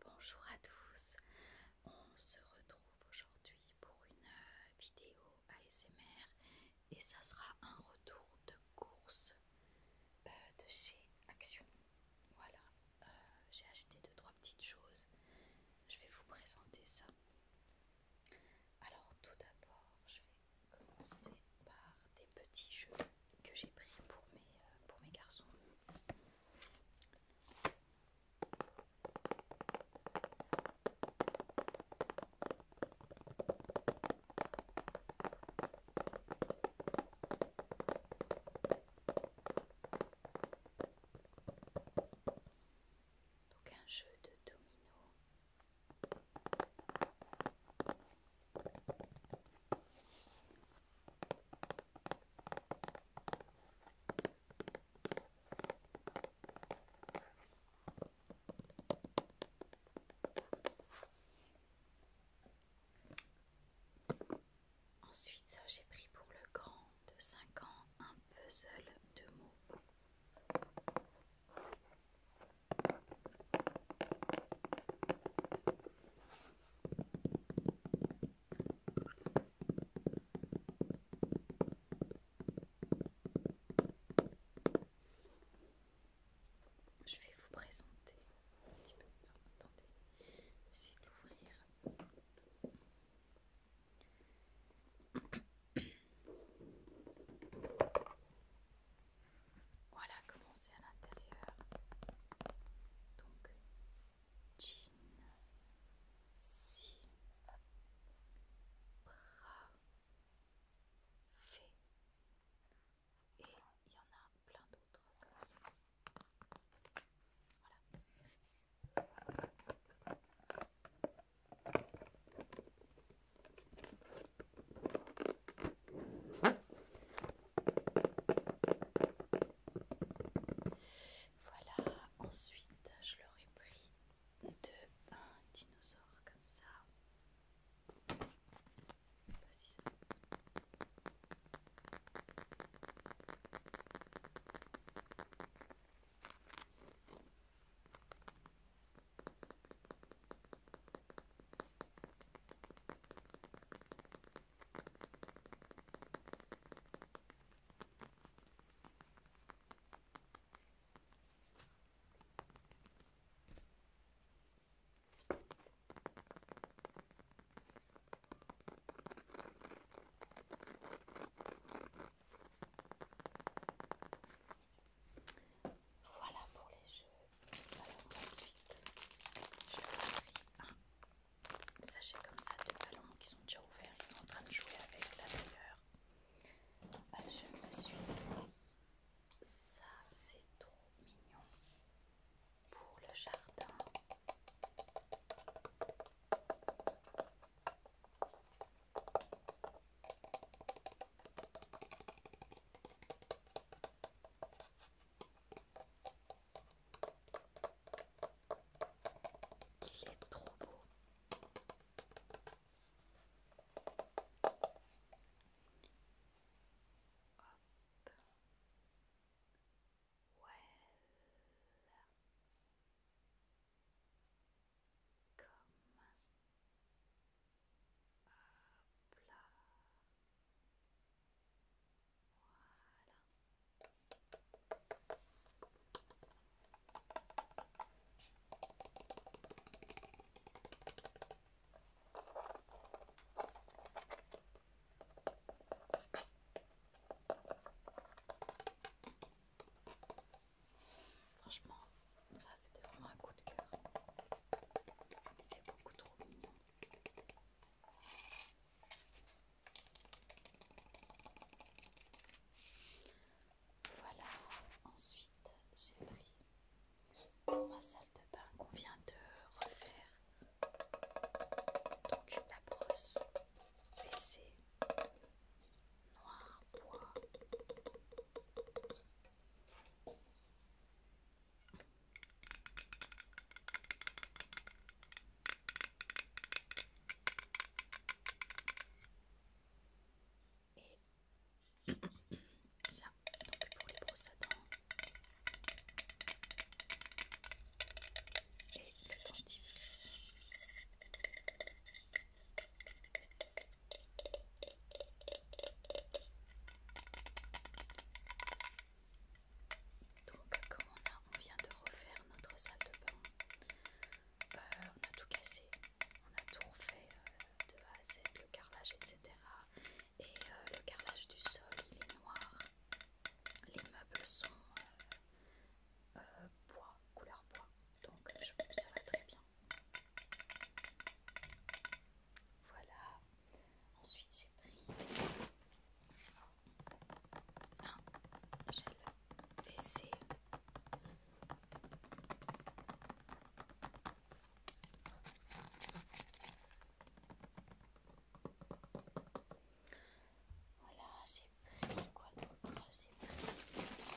Bonjour à tous, on se retrouve aujourd'hui pour une euh, vidéo ASMR et ça sera un retour de course euh, de chez Action. Voilà, euh, j'ai acheté 2 trois petites choses, je vais vous présenter ça. Alors tout d'abord, je vais commencer par des petits jeux que j'ai pris pour mes, euh, pour mes garçons. Donc un jeu de domino. Ensuite, j'ai pris pour le grand de 5 ans un puzzle de mots. Je vais vous présenter un petit peu. attendez, j'essaie de l'ouvrir. voilà comment c'est à l'intérieur. Donc, Jean, si, bras, fait, et il y en a plein d'autres comme ça. Voilà. Voilà, ensuite je leur ai pris de un dinosaure comme ça... Voilà pour les jeux. Alors ensuite, je vais un Sachez comme ça les ballons qui sont déjà ouverts, ils sont en train de jouer avec la meilleure. Ah, je me suis ça c'est trop mignon pour le jardin qu'il est trop beau. Hop. Well. Comme. Hop là. Voilà. Franchement, ça c'était vraiment un coup de cœur. Il est beaucoup trop mignon. Voilà, ensuite j'ai pris pour ma salle de bain qu'on vient de refaire donc la brosse WC noir bois et ça, donc pour les brosses à dents. Et le dentifrice. Donc, comme on, vient de refaire notre salle de bain, euh, on a tout cassé, on a tout refait euh, de A à Z, le carrelage, etc. Et euh, le carrelage du sol, il est noir. Les meubles sont bois, couleur bois. Donc, je, ça va très bien. Voilà. Ensuite, j'ai pris un gel BC. Voilà, j'ai pris quoi d'autre J'ai pris une petite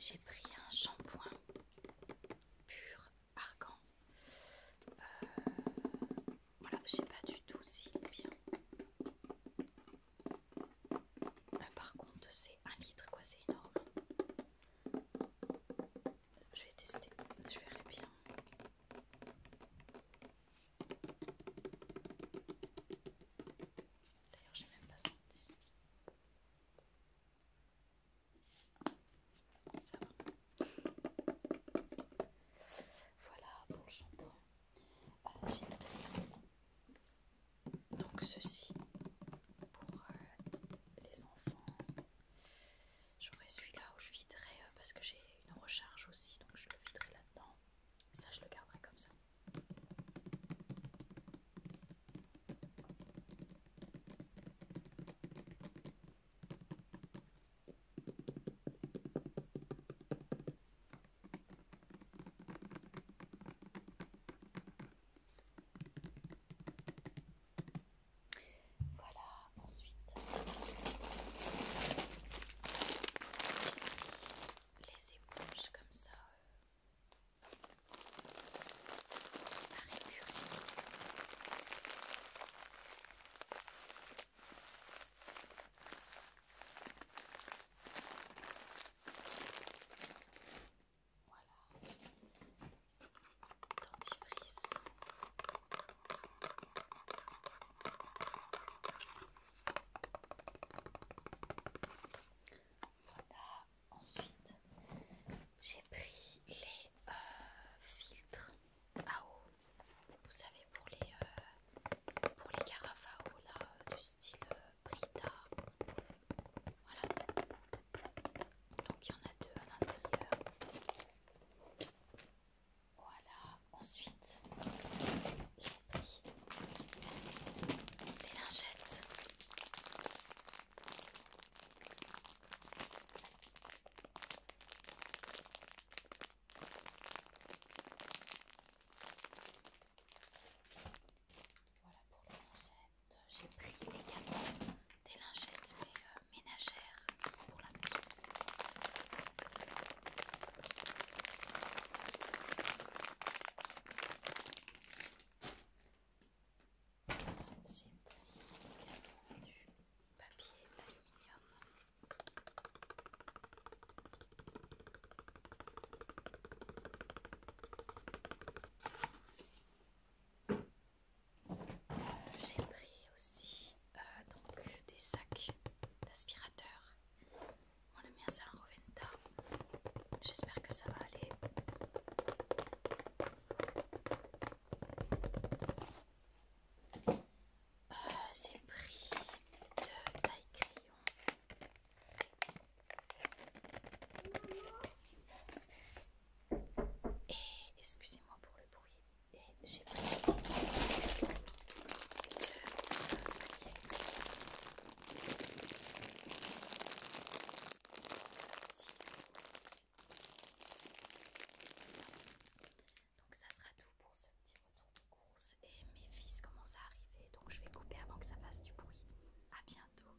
J'ai pris un shampoing pur argan. Euh, voilà, je sais pas du tout si bien. Euh, par contre, c'est un litre, quoi, c'est énorme je vais tester, je verrai bien. D'ailleurs, j'ai même pas senti. Ça va. Voilà pour le shampoing. Euh, j'ai donc ceci pour euh, les enfants. J'aurai celui-là où je viderai euh, parce que j'ai une recharge aussi, donc je le viderai là-dedans. Ça, je le garderai comme ça. Voilà, ensuite les éponges comme ça à euh, récurer. Voilà, dentifrice. Voilà, ensuite j'ai pris les euh, filtres à eau, vous savez pour les, euh, pour les carafes à eau là, euh, du style Brita. Voilà. Donc il y en a deux à l'intérieur. Voilà, ensuite j'ai pris des lingettes. Voilà pour les lingettes j'ai pris également des lingettes euh, ménagères pour la maison. J'ai pris également du papier aluminium. Euh, j'ai pris aussi euh, des sacs d'aspirateurs. Mon le mien c'est un Roventa. J'espère que ça va aller. J'ai euh, pris deux taille crayon. Et excusez-moi pour le bruit. Et j'ai pris Donc ça sera tout pour ce petit retour de course et mes fils commencent à arriver donc je vais couper avant que ça fasse du bruit. À bientôt.